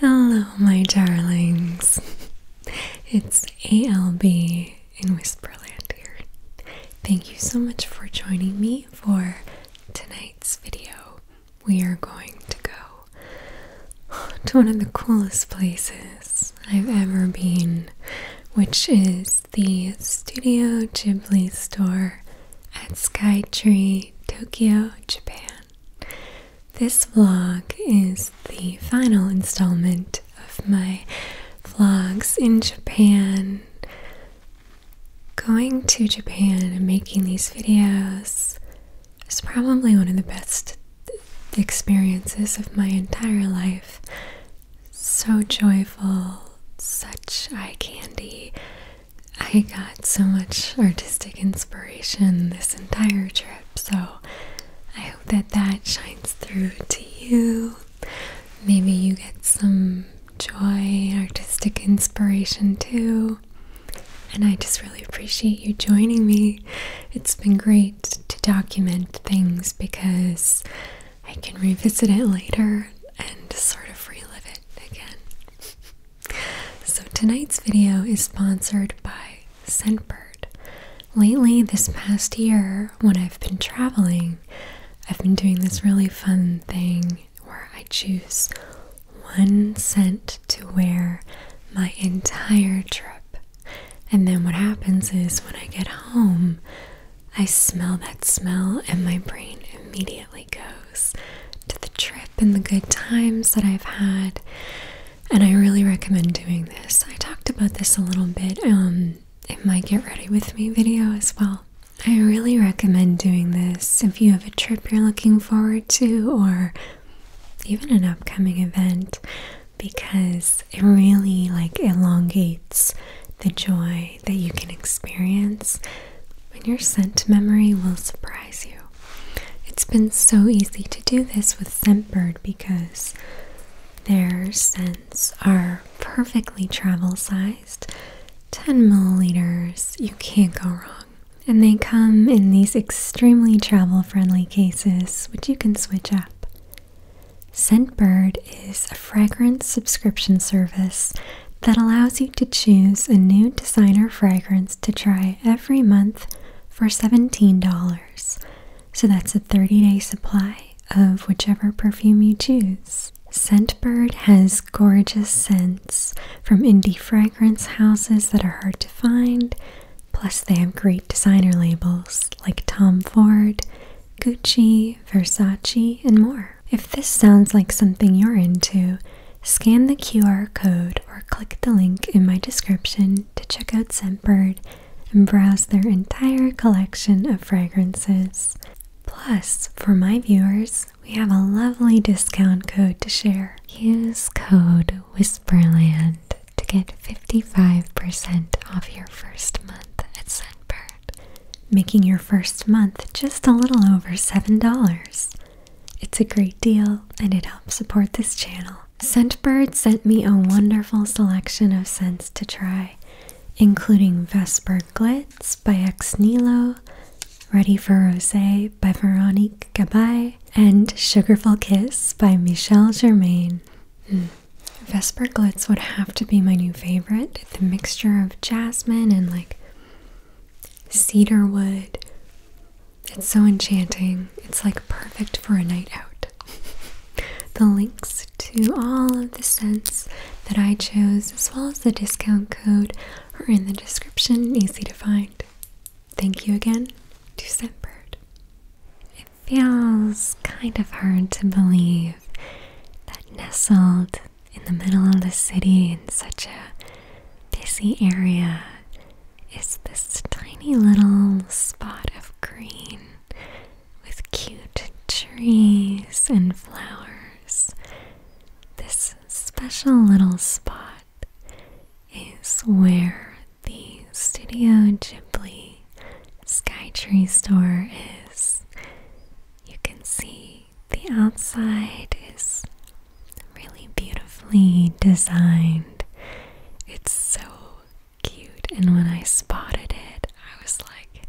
Hello, my darlings. It's ALB in Whisperland here. Thank you so much for joining me for tonight's video. We are going to go to one of the coolest places I've ever been, which is the Studio Ghibli store at Skytree, Tokyo, Japan. This vlog is the final installment of my vlogs in Japan. Going to Japan and making these videos is probably one of the best experiences of my entire life. So joyful, such eye candy. I got so much artistic inspiration this entire trip, so I hope that that shines through to you. Maybe you get some joy, artistic inspiration too. And I just really appreciate you joining me. It's been great to document things because I can revisit it later and sort of relive it again. So, tonight's video is sponsored by Scentbird. Lately, this past year, when I've been traveling, I've been doing this really fun thing where I choose one scent to wear my entire trip. And then what happens is when I get home, I smell that smell, and my brain immediately goes to the trip and the good times that I've had and I really recommend doing this. I talked about this a little bit um, in my Get Ready With Me video as well. I really recommend doing this if you have a trip you're looking forward to or even an upcoming event because it really like elongates the joy that you can experience when your scent memory will surprise you. It's been so easy to do this with Scentbird because their scents are perfectly travel sized 10 milliliters. You can't go wrong. And they come in these extremely travel friendly cases, which you can switch up. Scentbird is a fragrance subscription service that allows you to choose a new designer fragrance to try every month for $17. So that's a 30 day supply of whichever perfume you choose. Scentbird has gorgeous scents from indie fragrance houses that are hard to find, plus, they have great designer labels like Tom Ford, Gucci, Versace, and more. If this sounds like something you're into, Scan the QR code or click the link in my description to check out Scentbird and browse their entire collection of fragrances. Plus, for my viewers, we have a lovely discount code to share. Use code Whisperland to get 55% off your first month at Scentbird, making your first month just a little over $7. It's a great deal and it helps support this channel. Scentbird sent me a wonderful selection of scents to try, including Vesper Glitz by Ex Nilo, Ready for Rosé by Veronique Gabay, and Sugarful Kiss by Michelle Germain. Hmm. Vesper Glitz would have to be my new favorite. The mixture of jasmine and like cedarwood, it's so enchanting. It's like perfect for a night out. the links to all of the scents that I chose, as well as the discount code, are in the description, easy to find. Thank you again to Scentbird. It feels kind of hard to believe that nestled in the middle of the city in such a busy area is this tiny little spot of green with cute trees and flowers. This special little spot is where the Studio Ghibli Tree store is. You can see the outside is really beautifully designed. It's so cute, and when I spotted it, I was like,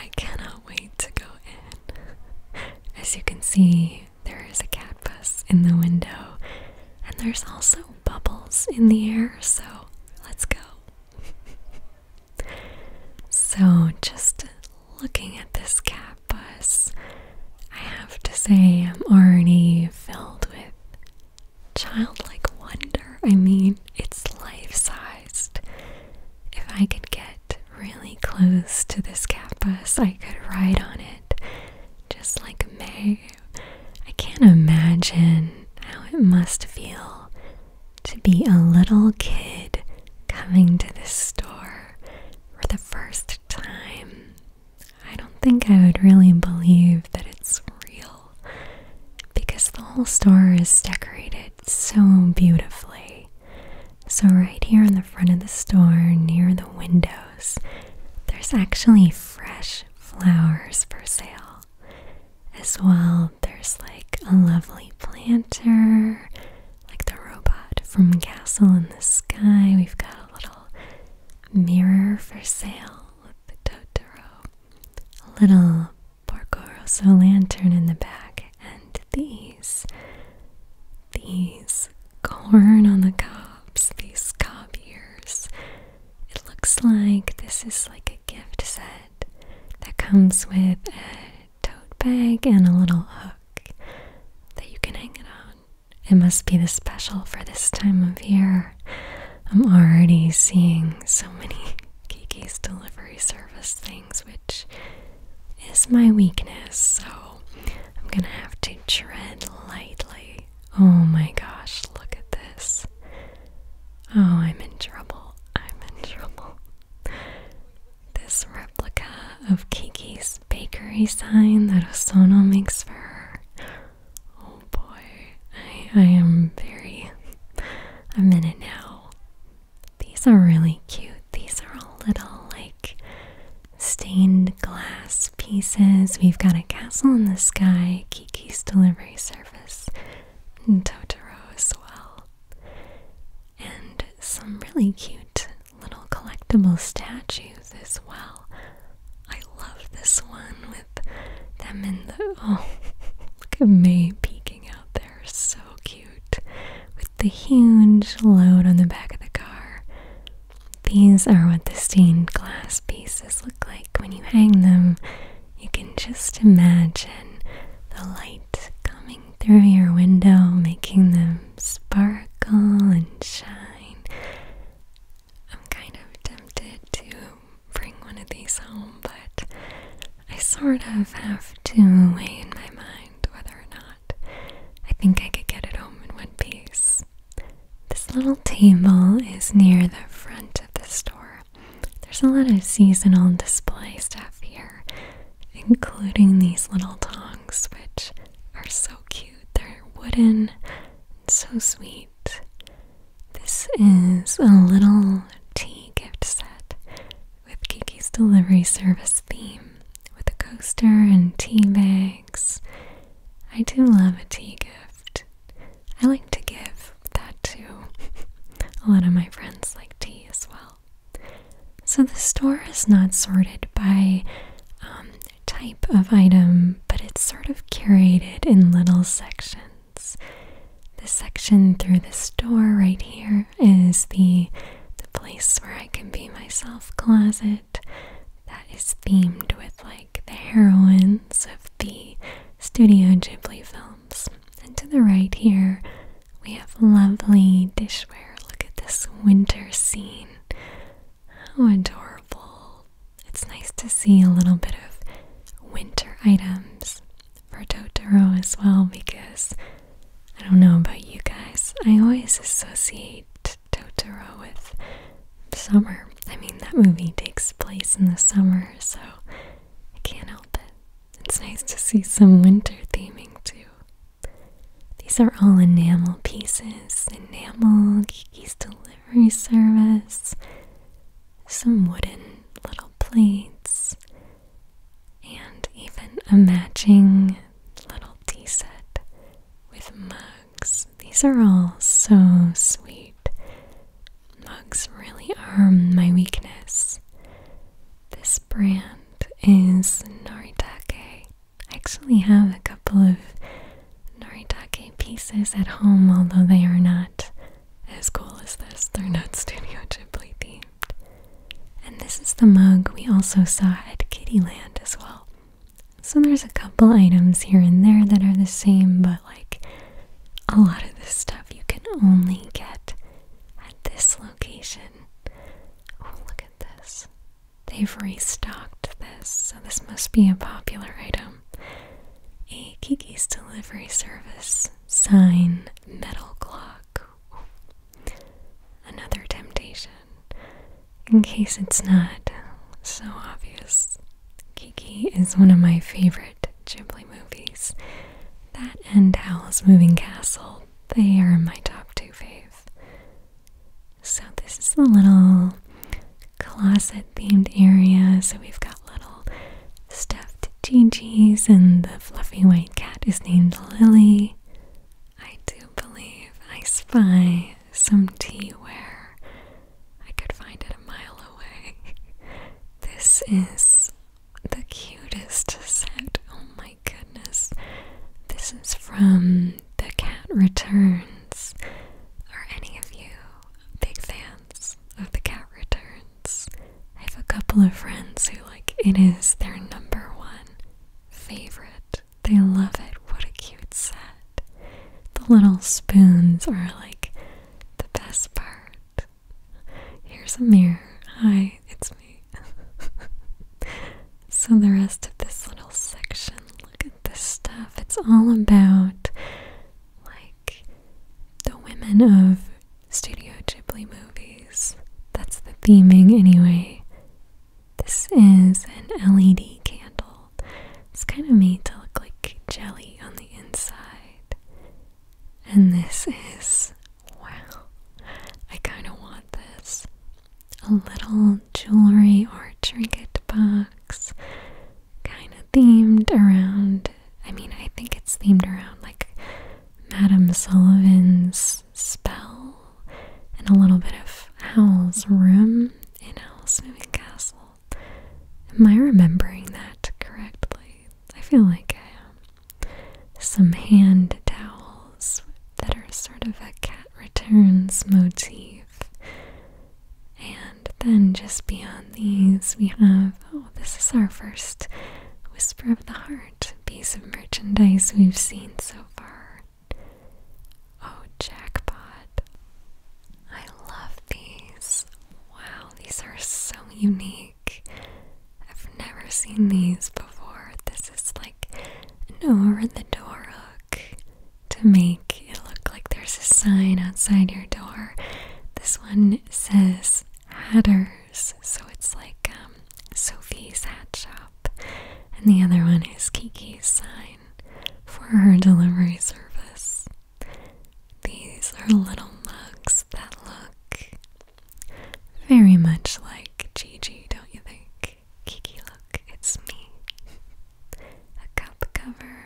I cannot wait to go in. As you can see, there is a cat bus in the window, and there's also bubbles in the air, so let's go. so, just looking at this cat bus, I have to say, I'm already filled with childlike wonder. I mean, it's life sized. If I could get really close to this cat I could ride on it just like May. I can't imagine how it must feel to be a little kid coming to the store for the first time I don't think I would really believe that it's real because the whole store is decorated so beautifully. So, right here in the front of the store, near the windows, there's actually fresh flowers for sale. As well, there's like a lovely planter, like the robot from Castle in the Sky. We've got a little Mirror for Sale the Totoro. Little Porco lantern in the back. And these, these corn on the cobs, these cob ears. It looks like this is like a gift set that comes with a tote bag and a little hook that you can hang it on. It must be the special for this time of year. I'm already seeing so many Kiki's delivery service things, which is my weakness, so I'm gonna have to tread lightly. Oh my gosh, look at this. Oh, I'm in trouble. I'm in trouble. This replica of Kiki's bakery sign that Osono makes for her. Oh boy, I, am very. I'm in it now. These are really cute. These are all little, like, stained glass pieces. We've got a castle in the sky, Kiki's delivery service, and Totoro as well. And some really cute little collectible statues as well. I love this one with them in the. Oh, look at me peeking out there. So cute. With the huge load on the back of the car. These are what the stained glass pieces look like when you hang them. You can just imagine the light coming through your window, making them sparkle and shine. I'm kind of tempted to bring one of these home, but I sort of have to weigh in my mind whether or not I think I could get it home in one piece. This little table is near the front of the store. There's a lot of seasonal display stuff here, including these little tongs, which are so cute. They're wooden, so sweet. This is a little tea gift set with Kiki's Delivery Service theme with a coaster and tea bags. I do love a tea gift. I like to give that to a lot of my friends like tea as well. So the store is not sorted by um, type of item, but it's sort of curated in little sections. The section through the store right here is the the place where I can be myself closet that is themed with like the heroines of the Studio Ghibli films. And to the right here, we have lovely dishware. Look at this winter scene. How oh, adorable. It's nice to see a little bit of winter items for Totoro as well because I don't know about you guys, I always associate Totoro with summer. I mean, that movie takes place in the summer, so I can't help it. It's nice to see some winter theming too. These are all enamel pieces. Enamel, Kiki's Delight delivery service, some wooden little plates, and even a matching little tea set with mugs. These are all so sweet. Mugs really are my weakness. This brand is Noritake I actually have a couple of Noritake pieces at home, although they are not as cool as this. They're not Studio Ghibli themed. And this is the mug we also saw at Kittyland as well. So there's a couple items here and there that are the same, but like a lot of this stuff you can only get at this location. look at this. They've restocked this, so this must be a popular item. A Kiki's Delivery Service sign metal clock. Another temptation. In case it's not so obvious, Kiki is one of my favorite Ghibli movies. That and Howl's Moving Castle, they are my top two faves. So, this is a little closet themed area. So, we've got little stuffed Gigi's, and the fluffy white cat is named Lily. I do believe I spy some tea ware. I could find it a mile away. this is the cutest set. Oh my goodness. This is from the cat returns. Are any of you big fans of the cat returns? I have a couple of friends who like it is their number one favorite. They love it. What a cute set. The little spoons are like the best part. Here's a mirror. Hi, it's me. so the rest of this little section, look the stuff. It's all about like the women of Studio Ghibli movies. That's the theming, anyway. This is an LED candle. It's kind of made to look like jelly on the inside. And this is, wow, I kind of want this. A little jewelry or trinket box kind of themed around I mean I think it's themed around like Madame Sullivan's spell and a little bit of Howl's room in Howl's Moving Castle. Am I remembering that correctly? I feel like I am. Some hand towels that are sort of a cat returns motif. And then just beyond these, we have oh, this is our first Whisper of the Heart piece of merchandise we've seen so far. Oh, jackpot! I love these. Wow, these are so unique. I've never seen these before. This is like an over the door hook to make it look like there's a sign outside your door. This one says Hatters, so it's like um, Sophie's hat shop, and the other one is Kiki's sign for her delivery service. These are little mugs that look very much like Gigi, don't you think? Kiki, look, it's me. a cup cover,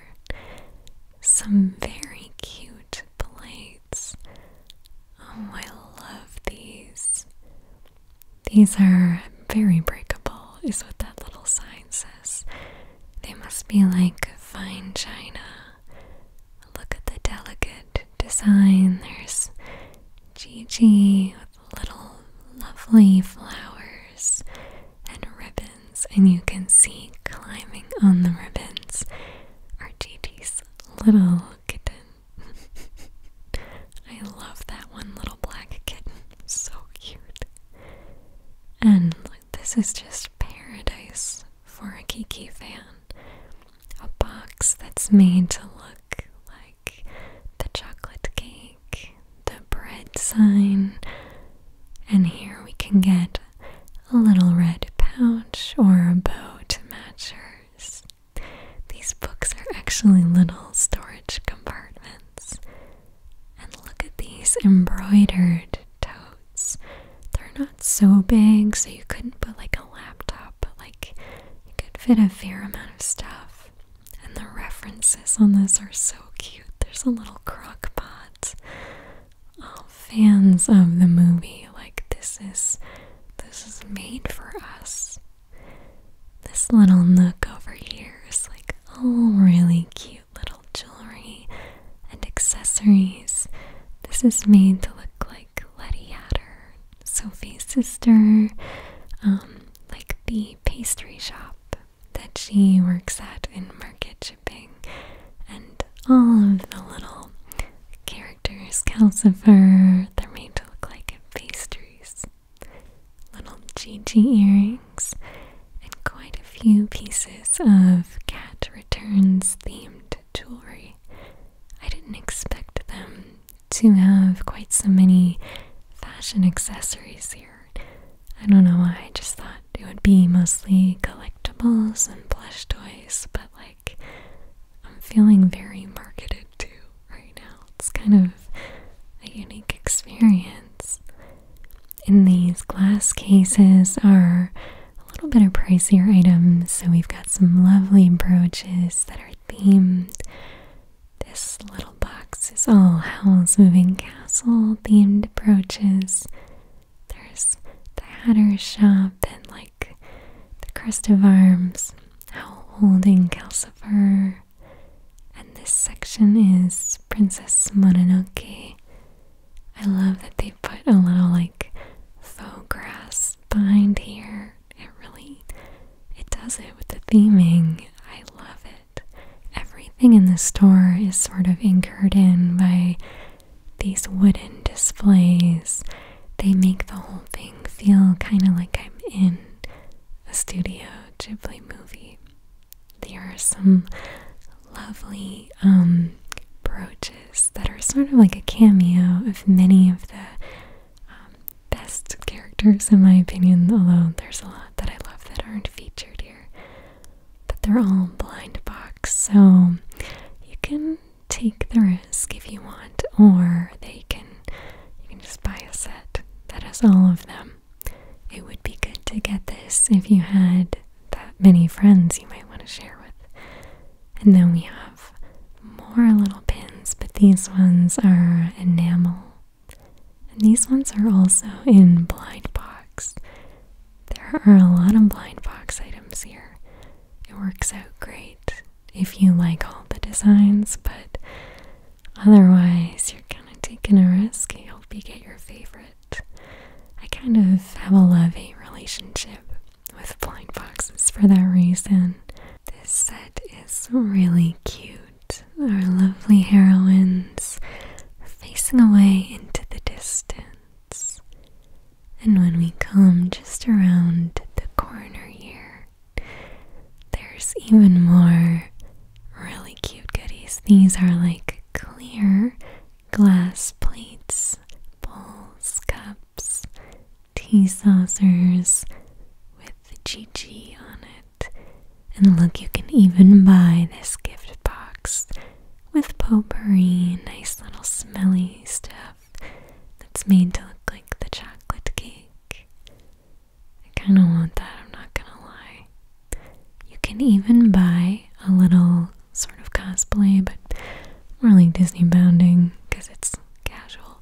some very cute plates. Oh, I love these. These are very breakable, is what that little sign says. They must be like fine china. Look at the delicate design. There's Gigi with little lovely flowers and ribbons and you can see climbing on the ribbons are Gigi's little kitten. I love that one little black kitten, so cute. And this is just paradise for a Kiki fan. A box that's made to look like the chocolate cake the bread sign, and here we can get a little red pouch or a bow to match hers. These books are actually little storage compartments. And look at these embroidered totes. They're not so big, so you couldn't put like a laptop, but like you could fit a fair amount of stuff. And the references on this are so cute. There's a little crock pot. Oh, fans of the movie, like this is this is made for us. This little nook over here is like all really cute little jewelry and accessories. This is made to look like Letty Hatter, Sophie's sister, um, like the pastry shop that she works at in market shipping, and all of the little characters, calcifer, they're made to look like pastries, little GG earrings, and quite a few pieces of cat returns themed jewelry. I didn't expect them to have quite so many fashion accessories here. I don't know why, I just thought it would be mostly collectibles and plush toys, but like I'm feeling very marketed to right now. It's kind of a unique experience. In these glass cases are a little bit of pricier items, so we've got some lovely brooches that are themed. This little box boxes, all Howl's Moving Castle themed brooches. There's the Hatter Shop and like the Crest of Arms, Howl holding Calcifer. And this section is Princess Mononoke. I love that they put a little like faux grass behind here. It really it does it with the theming. I love it. Everything in the store is sort of anchored in by these wooden displays. They make the whole thing feel kind of like I'm in a Studio Ghibli movie. There are some lovely um, brooches that are sort of like a cameo of many of the um, best characters, in my opinion, although there's a lot that I love that aren't featured here but they're all blind box, so you can take the risk if you want, or they can you can just buy a set that has all of them. It would be good to get this if you had that many friends you might want to share with. And then we have more little pins, but these ones are enamel and these ones are also in blind box. There are a lot of blind box items here. It works out great if you like all the designs, but otherwise, you're kind of taking a risk. You hope you get your favorite. I kind of have a love hate relationship with blind boxes for that reason. This set is really cute. Our lovely heroines facing away into the distance. And when we come just around the corner here, there's even more really cute goodies. These are like clear glass plates, bowls, cups, tea saucers with the Gigi on it. And look, you can even buy this gift box with potpourri, nice little smelly stuff that's made to look like the chocolate cake. I kind of want that, I'm not gonna lie. You can even buy a little sort of cosplay, but more like Disney bounding because it's casual.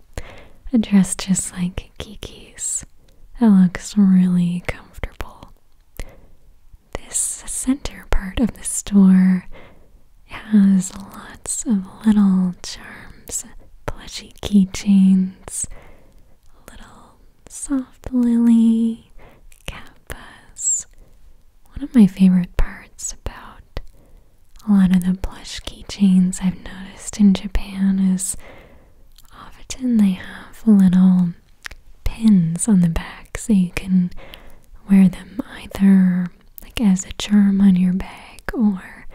A dress just like Kiki's. It looks really comfortable. This center part of the store has lots of little charms, plushy keychains, little soft lily, kappas. One of my favorite parts about a lot of the plush keychains I've noticed in Japan is often they have little pins on the back so you can wear them either like as a charm on your bag or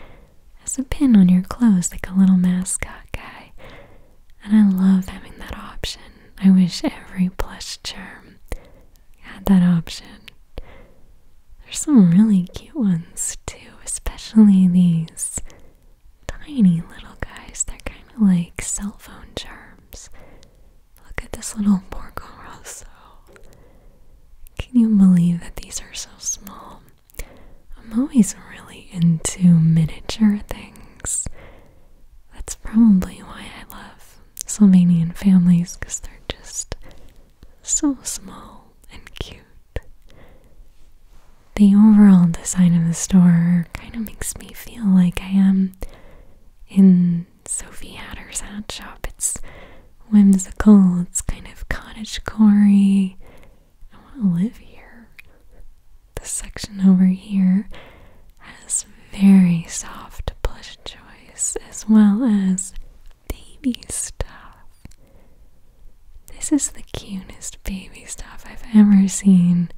as a pin on your clothes like a little mascot guy. And I love having that option. I wish every plush charm had that option. There's some really cute ones too, especially these tiny little guys. They're kind of like cell phone charms. Look at this little Porco Rosso. Can you believe that these are so small? I'm always really into miniature things. That's probably why I love Slovenian families because they're just so small and cute the overall design of the store kind of makes me feel like I am in Sophie Hatter's hat shop. It's whimsical, it's kind of cottage corey. I want to live here. The section over here has very soft plush choice as well as baby stuff. This is the cutest baby stuff I've ever seen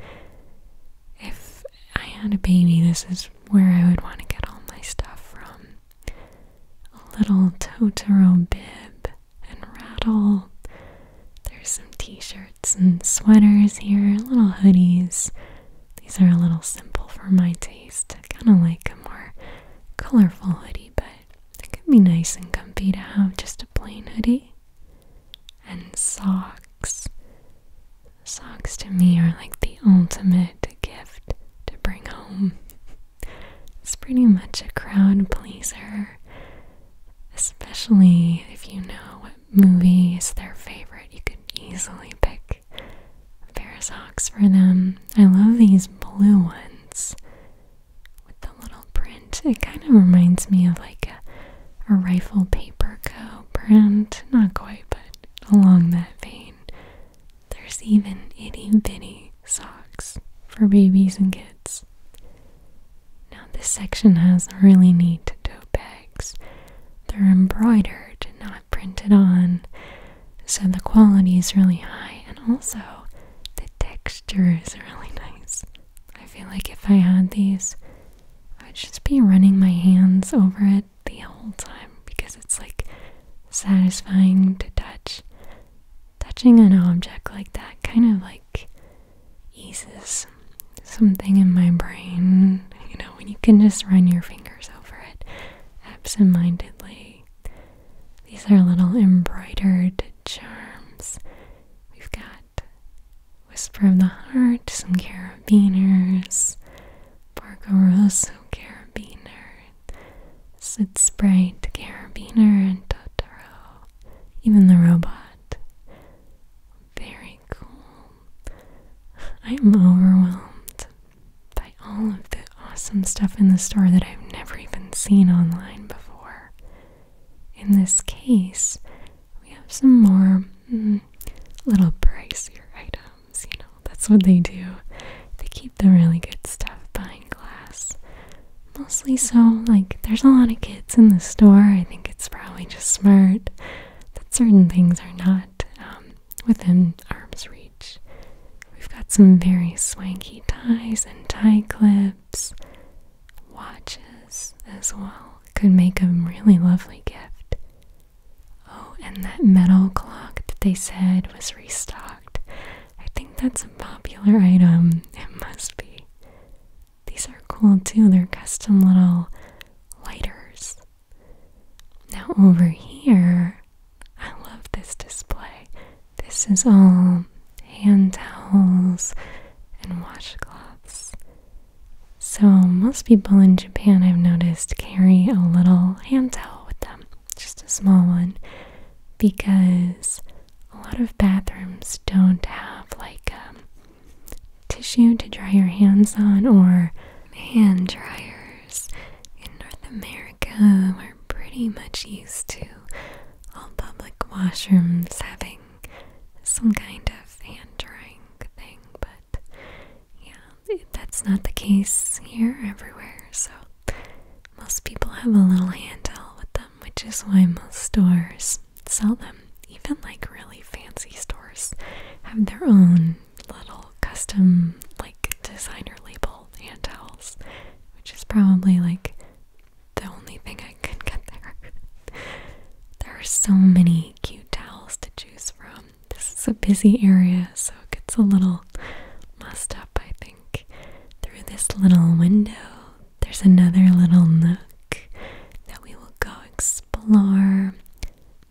if I had a baby, this is where I would want to get all my stuff from. A little Totoro bib and rattle. There's some t shirts and sweaters here, little hoodies. These are a little simple for my taste. kind of like a more colorful hoodie, but it could be nice and comfy to have just a plain hoodie and socks. Socks to me are like the ultimate gift to bring home. It's pretty much a crowd pleaser, especially if you know what movies they're favorite. You could easily pick a of socks for them. I love these blue ones with the little print. It kind of reminds me of like a, a rifle paper co brand. Not quite, but along that vein. There's even itty bitty socks for babies and kids. Now, this section has really neat tote bags. They're embroidered, not printed on, so the quality is really high, and also the texture is really nice. I feel like if I had these, I'd just be running my hands over it the whole time because it's like satisfying to touch. Touching an object like that kind of like eases something in my brain, you know, when you can just run your fingers over it absentmindedly. These are little embroidered charms. We've got Whisper of the Heart, some carabiners, Porco carabiner, Sid Sprite carabiner, and Totoro. Even the robot. Very cool. I'm overwhelmed by all of the awesome stuff in the store that I've never even seen online before. In this case, we have some more mm, little pricier items. You know, that's what they do. They keep the really good stuff behind glass. Mostly so, like, there's a lot of kids in the store. I think it's probably just smart that certain things are not um, within arm's reach. We've got some very swanky ties and tie clips watches as well could make a really lovely gift. Oh, and that metal clock that they said was restocked. I think that's a popular item. It must be. These are cool too. They're custom little lighters. Now, over here, I love this display. This is all hand towels and washcloths. So, most people in Japan I've noticed carry a little hand towel with them, just a small one, because a lot of bathrooms don't have like um, tissue to dry your hands on or hand dryers. In North America, we're pretty much used to all public washrooms having some kind of hand drying thing, but yeah, that's not the case here everywhere. So most people have a little handheld with them, which is why most stores sell them. Even like really fancy stores have their own little custom like designer label hand towels, which is probably like the only thing I can get there. There are so many cute towels to choose from. This is a busy area, so it gets a little messed up, I think. Through this little window, there's another little nook that we will go explore.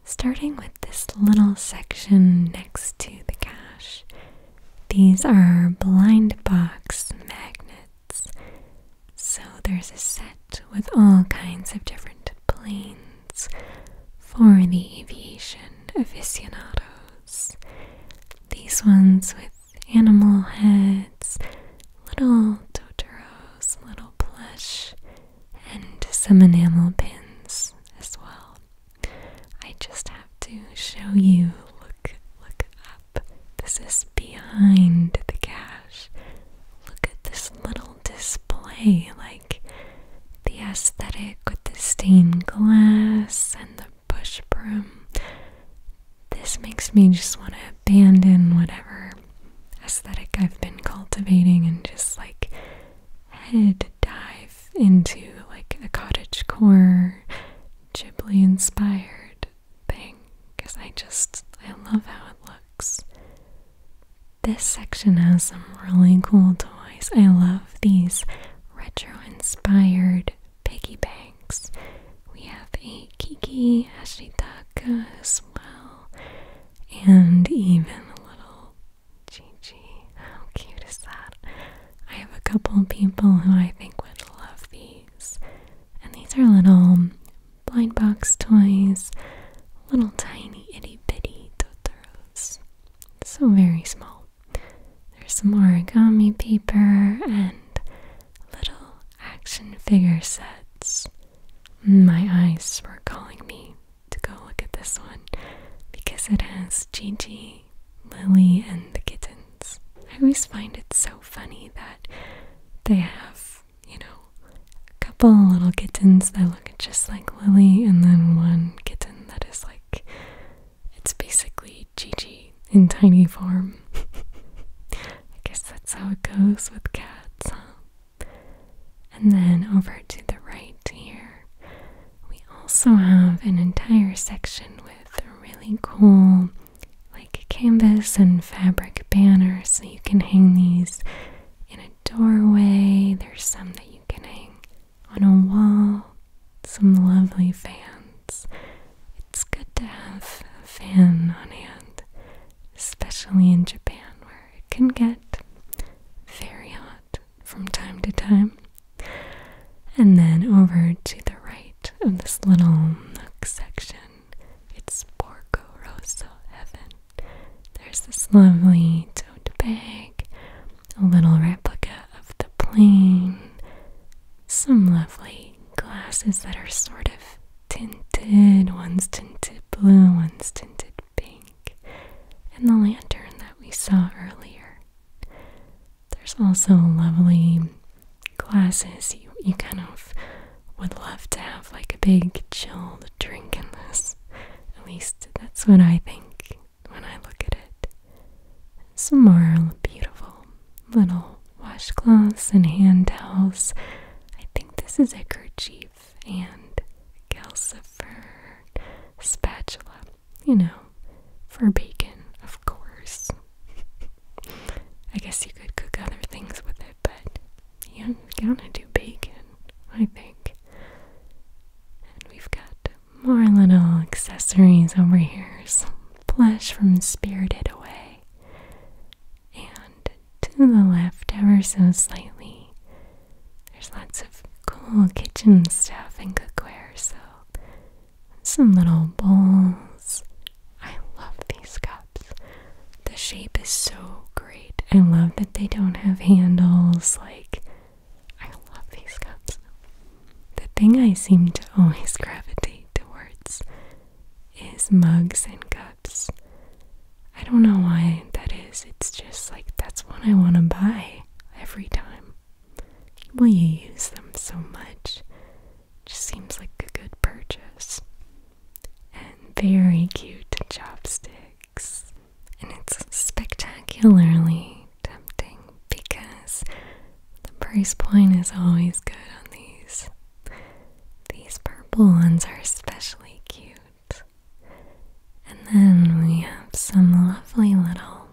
Starting with this little section next to the cache. These are blind box magnets. So there's a set with all kinds of different planes for the aviation aficionados. These ones with animal heads, little Totoros, little plush, and some enamel pins as well. I just have to show you. Look, look up. This is behind the cat look at this little display like the aesthetic with the stained glass and the bush broom. This makes me just want to abandon whatever aesthetic I've been cultivating and just like head dive into like a cottage core Ghibli inspired because I just I love how it looks. This section has some really cool toys. I love these retro-inspired piggy banks. We have a Kiki Ashitaka as well, and even a little Gigi. How cute is that? I have a couple people who I think would love these, and these are little blind box toys, little tiny itty bitty Totoros. So very small. There's some origami paper and little action figure sets. My eyes were calling me to go look at this one because it has Gigi, Lily, and the kittens. I always find it so funny that they have you know, a couple little kittens that look just like Lily, and then one kitten that is like, it's basically Gigi in tiny form. I guess that's how it goes with cats, And then over to the right here, we also have an entire section with really cool like canvas and fabric banners, so you can hang these in a doorway. There's some that you can hang on a wall. Some lovely fans. It's good to have a fan on hand, especially in Japan where it can get very hot from time to time. And then over to the right of this little nook section it's Porco Rosso heaven. There's this lovely tote bag, a little replica of the plane, some lovely glasses that are sort of tinted. One's tinted blue, one's tinted pink, and the lantern that we saw earlier. There's also lovely glasses. You, you kind of would love to have like a big chilled drink in this. At least that's what I think when I look at it. Some more beautiful little washcloths and hand towels. I think this is a kerchief and calcifer spatula, you know, for bacon, of course. I guess you could cook other things with it it, but you going to do bacon, I think. And we've got more little accessories over here. Some plush from Spirited Away. And to the left, ever so slightly, there's lots of cool kitchen stuff and cookware. So, some little bowls I love these cups. The shape is so great. I love that they don't have handles. Like, I love these cups. The thing I seem to always gravitate towards is mugs and cups. I don't know why that is. It's just like that's what I want to buy every time. Well, you use them so much. It just seems like a good purchase and very cute chopsticks. And it's spectacularly tempting because the price point is always good on these. These purple ones are especially cute. And then we have some lovely little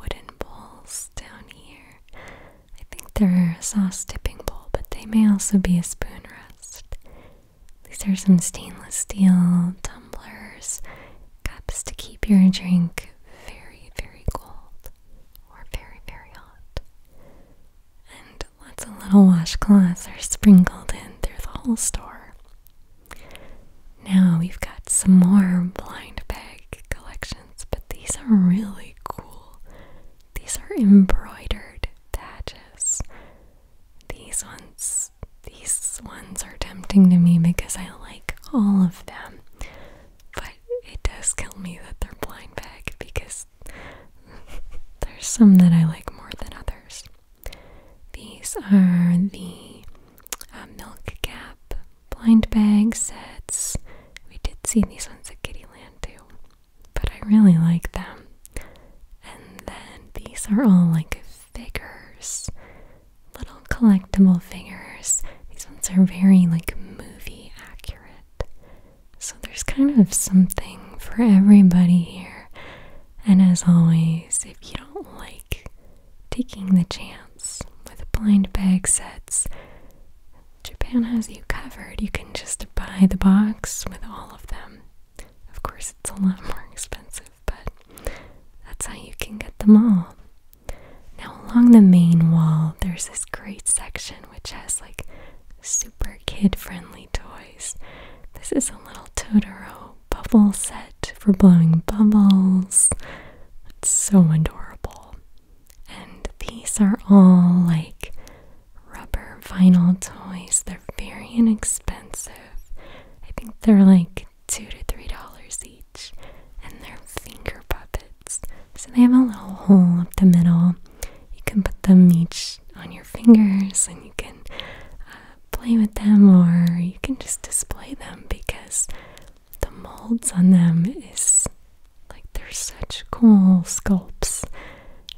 wooden bowls down here. I think they're a sauce dipping bowl, but they may also be a spoon rest. These are some stainless steel tumblers, cups to keep your drink very, very cold or very, very hot. And lots of little washcloths are sprinkled in through the whole store. Now we've got some more blind bag collections, but these are really cool. These are embroidered badges. These ones, these ones are tempting to me because I like all of them. But it does kill me that they're blind bag because there's some that I like more than others. These are the uh, Milk cap blind bag sets. We did see these ones at Kittyland too but I really like them. And then these are all like figures, little collectible figures. These ones are very like movie accurate. So there's kind of something for everybody here. And as always, if you don't like taking the chance with blind bag sets, Japan has you covered. You can just buy the box with all of them. Um, of course it's a lot more expensive, but that's how you can get them all. Now, along the main wall, there's this great section which has like super kid friendly toys. This is a little Totoro bubble set for blowing bubbles. It's so adorable. And these are all like rubber vinyl toys. They're very inexpensive. I think they're like two to three dollars each. And they're finger puppets. So they have a little hole up the middle. You can put them each on your fingers and you can uh, play with them or you can just display them because the molds on them is like they're such cool sculptures.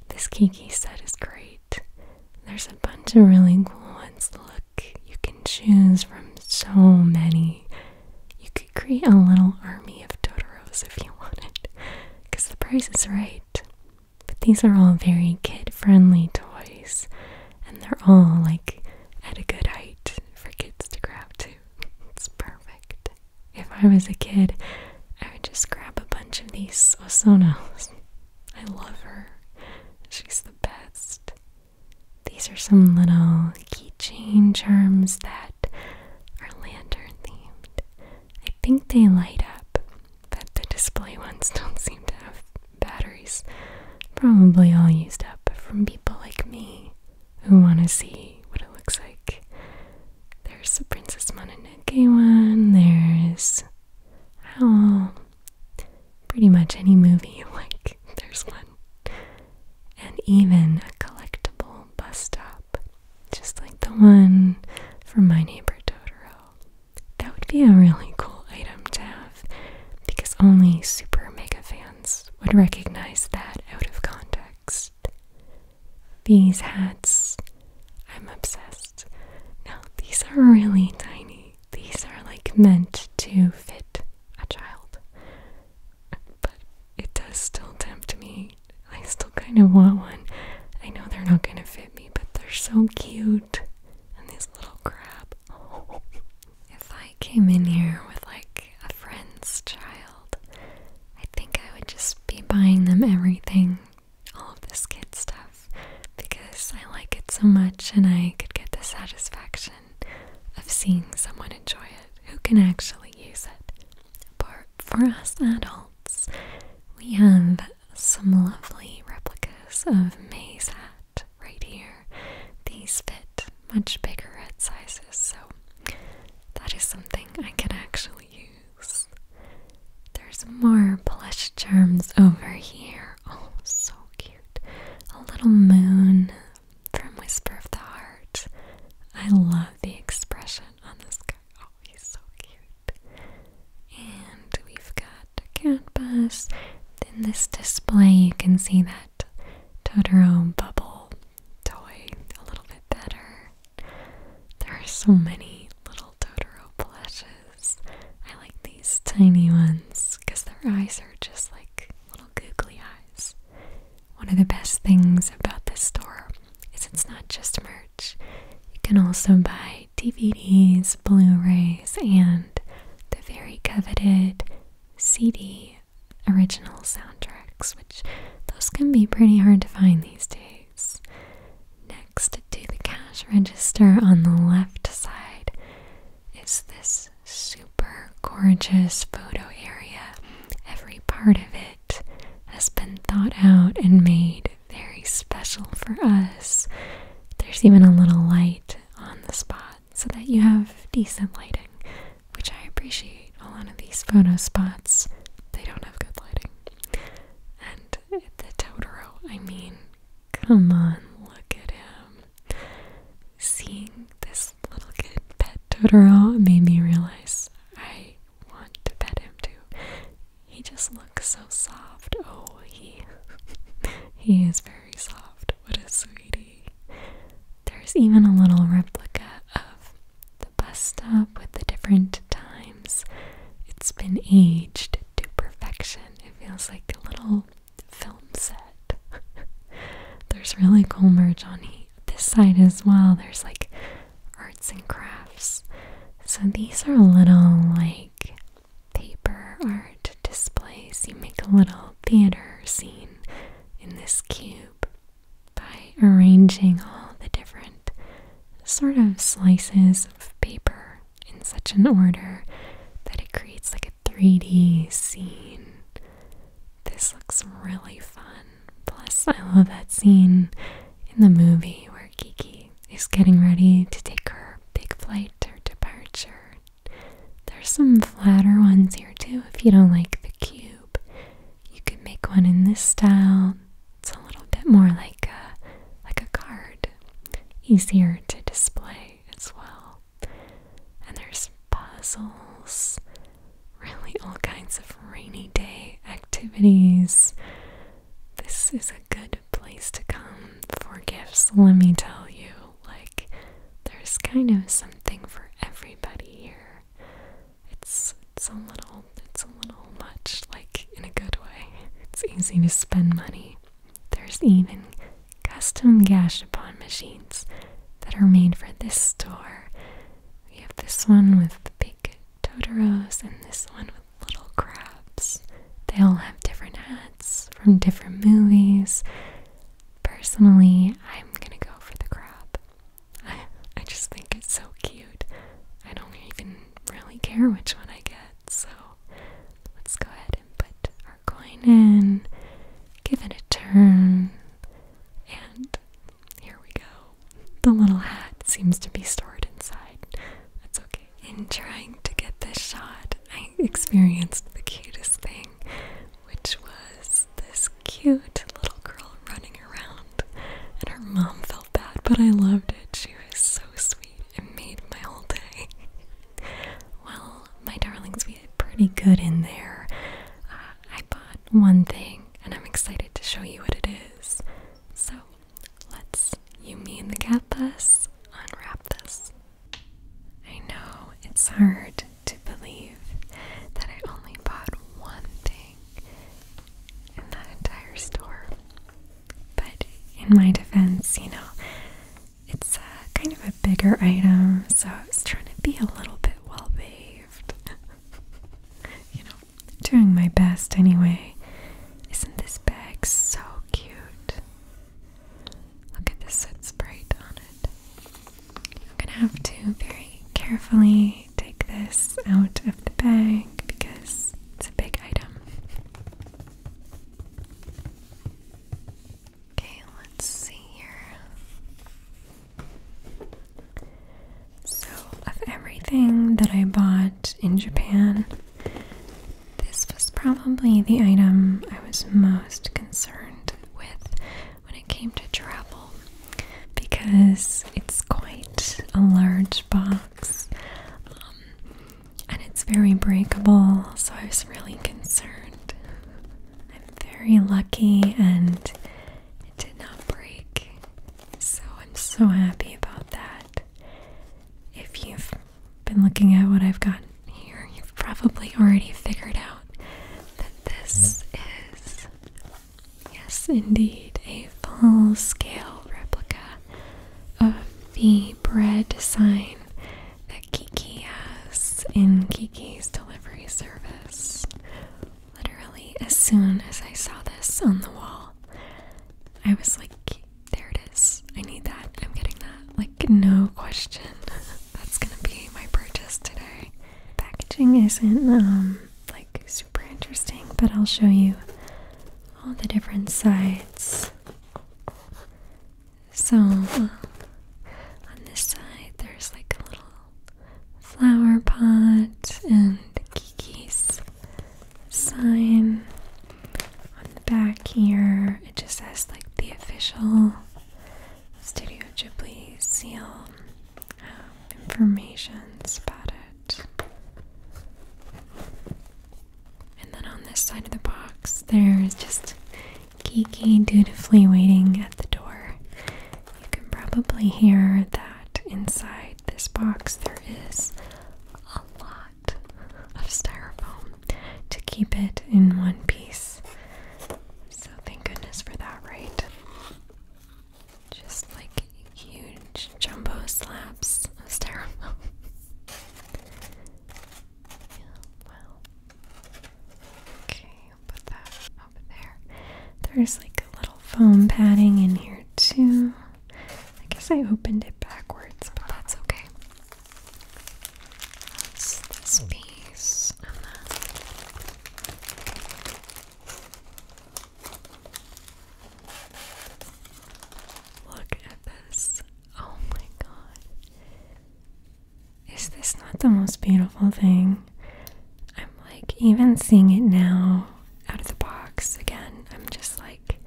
This Kiki set is great. There's a bunch of really cool ones. Look, you can choose from so many. You could create a little army of Totoros if you wanted, because the price is right. But these are all very kid friendly toys, and they're all like at a good height for kids to grab too. It's perfect. If I was a kid, I would just grab a bunch of these Osonos. I love her. She's the best. These are some little keychain charms that are lantern themed. I think they light up, but the display ones don't seem to have batteries. Probably all used up from people like me who want to see what it looks like. There's the Princess Mononoke one. There's oh, pretty much any movie you like. There's one, and even a collectible bus stop, just like the one from My Neighbor Totoro. That would be a really cool item to have because only super mega fans would recognize that out of context. These hats, I'm obsessed. Now, these are really tiny. These are like meant to fit a child. But it does still tempt me. I still kind of want one. I know they're not going to fit me, but they're so cute. And these little crab. Oh. If I came in here with like a friend's child, I think I would just be buying them everything all of this kid stuff because I like it so much and I could get the satisfaction of seeing someone enjoy it who can actually use it. But for us adults, we have some lovely replicas of May's hat right here. These fit much bigger head sizes, so that is something I can actually use. There's more plush charms over here. Oh, so cute. A little moon from Whisper of the Heart. I love the expression on this guy. Oh, he's so cute. And we've got a canvas. In this display, you can see that Totoro bubble toy a little bit better. There are so many little Totoro plushes. I like these tiny ones because their eyes are just like little googly eyes. One of the best things about this store is it's not just merch. You can also buy DVDs, Blu-rays, and the very coveted CD original soundtracks, which those can be pretty hard to find these days. Next to the cash register on the left side is this super gorgeous photo area. Every part of it has been thought out and made very special for us. There's even a little light on the spot so that you have decent lighting, which I appreciate. A lot of these photo spots, they don't have good lighting the Totoro. I mean, come on, look at him. Seeing this little kid pet Totoro made me realize I want to pet him too. He just looks so soft. Oh, he he is very soft. What a sweetie. There's even a little replica of the bus stop with the different times. It's been aged to perfection. It feels like a little film set. There's really cool merch on here. this side as well. There's like arts and crafts. So these are little like paper art displays. You make a little theater scene in this cube by arranging all the different sort of slices of paper in such an order that it creates like a 3D scene. This looks really fun. Plus, I love that scene in the movie where Kiki is getting ready to take her big flight or departure. There's some flatter ones here too if you don't like the cube. You could make one in this style, it's a little bit more like a like a card, easier to display as well. And there's puzzles, really all kinds of rainy day activities. This is a good place to come for gifts, let me tell you. Like there's kind of something for everybody here. It's it's a little it's a little much like in a good way. It's easy to spend money. There's even custom gashapon machines that are made for this store. We have this one with big Totoros and this one with little crabs. They all have different hats from different movies. Personally, I'm gonna go for the crab. I, I just think it's so cute. I don't even really care which one I get, so let's go ahead and put our coin in, give it a turn, and here we go. The little hat seems to be stored inside. That's okay. In trying to get this shot, I experienced the cutest thing, which was this cute little girl running around. And her mom felt bad, but I loved it. She was so sweet. It made my whole day. well, my darlings, we did pretty good in there. Uh, I bought one thing, and I'm excited to show you what it is. So, let's, you, me, and the cat bus, unwrap this. I know it's hard to believe that I only bought one thing in that entire store. But in my defense, you know, it's uh, kind of a bigger item, so I was trying to be a little bit well behaved. you know, doing my best anyway. Isn't this bag so cute? Look at this it's bright on it. I'm gonna have to very carefully take this out of the bag because it's a big item. Okay, let's see here. So, of everything that I bought in Japan, this was probably the item I was most concerned with when it came to travel because it's quite a large box. Um, and it's very breakable, so I was really concerned. I'm very lucky and it did not break, so I'm so happy about that. If you've been looking at what I've got here, you've probably already figured out that this mm-hmm. is, yes, indeed, a full scale replica of the bread sign that Kiki has in Kiki's delivery service. Literally, as soon as I saw this on the wall, I was like, there it is. I need that. I'm getting that. Like, no question. That's gonna be my purchase today. Packaging isn't, um, like super interesting, but I'll show you all the different sides. So, uh, on this side, there's like a little flower pot and Kiki's sign. On the back here, it just says like the official Studio Ghibli seal um, information spot. And then on this side of the box, there is just geeky dutifully waiting at the door. You can probably hear that inside this box there is a lot of styrofoam to keep it in one piece. So thank goodness for that, right? Just like huge jumbo slabs That's terrible. yeah, wow. Okay, put that over there. There's like a little foam padding in here too. I guess I opened it backwards, but that's okay. this piece and then Look at this. Oh my god. Is this not the most beautiful thing? I'm like, even seeing it now out of the box again, I'm just like,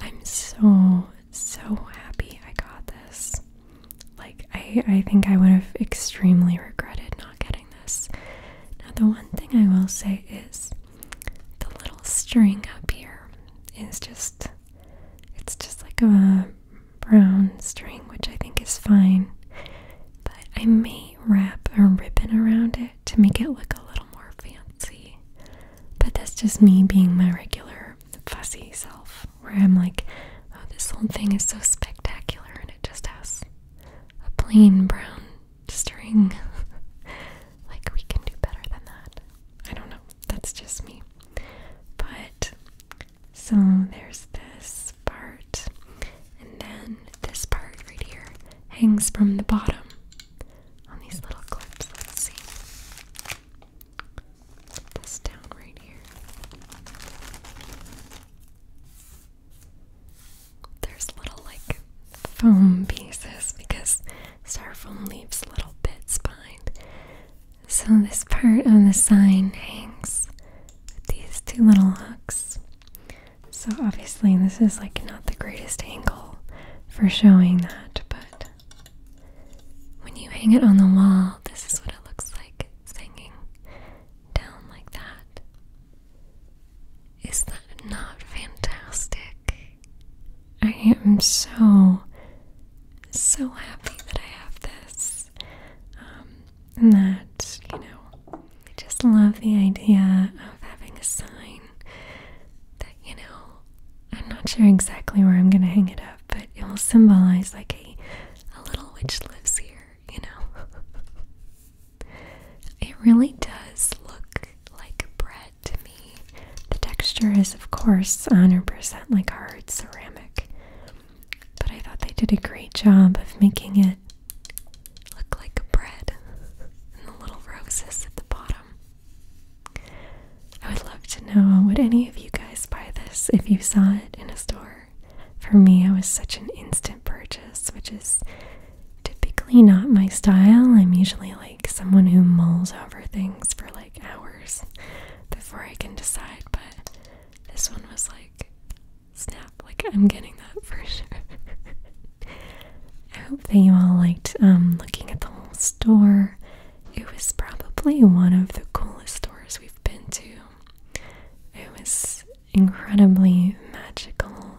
I'm so, so happy I got this. Like, I, I think I would have extremely regretted not getting this. Now, the one thing I will say is the little string up here is just it's just like a brown string which I think is fine but I may wrap a ribbon around it to make it look a little more fancy but that's just me being my regular fussy self where I'm like oh this whole thing is so spectacular and it just has a plain brown String, like, we can do better than that. I don't know. That's just me. But, so there's this part, and then this part right here hangs from the bottom on these little clips. Let's see. this down right here there's little like foam pieces because styrofoam leaves little bits behind. So this part of the sign hangs with these two little hooks. So obviously this is like not the greatest angle for showing that, but when you hang it on the wall, this is what it looks like. hanging down like that. Is that not fantastic? I am so, so happy that I have this. Um, and that, you know, I just love the idea of having a sign that, you know, I'm not sure exactly where I'm going to hang it up, but it will symbolize like a, a little witch lives here, you know. It really does look like bread to me. The texture is, of course, 100% like hard ceramic, but I thought they did a great job of making it look like bread and the little roses at the bottom. I would love to know would any of you guys buy this if you saw it in a store? For me, it was such an instant purchase, which is typically not my style. I'm usually like, someone who mulls over things for like hours before I can decide, but this one was like snap, like I'm getting that for sure. I hope that you all liked um looking at the whole store. It was probably one of the coolest stores we've been to. It was incredibly magical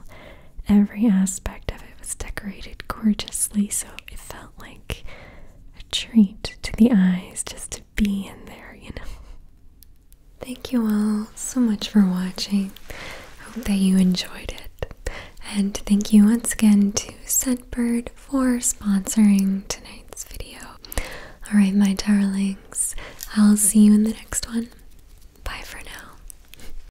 Every aspect of it was decorated gorgeously, so it felt like a treat to the eyes just to be in there, you know. Thank you all so much for watching. Hope that you enjoyed it. And thank you once again to Scentbird for sponsoring tonight's video. Alright, my darlings, I'll see you in the next one. Bye for now.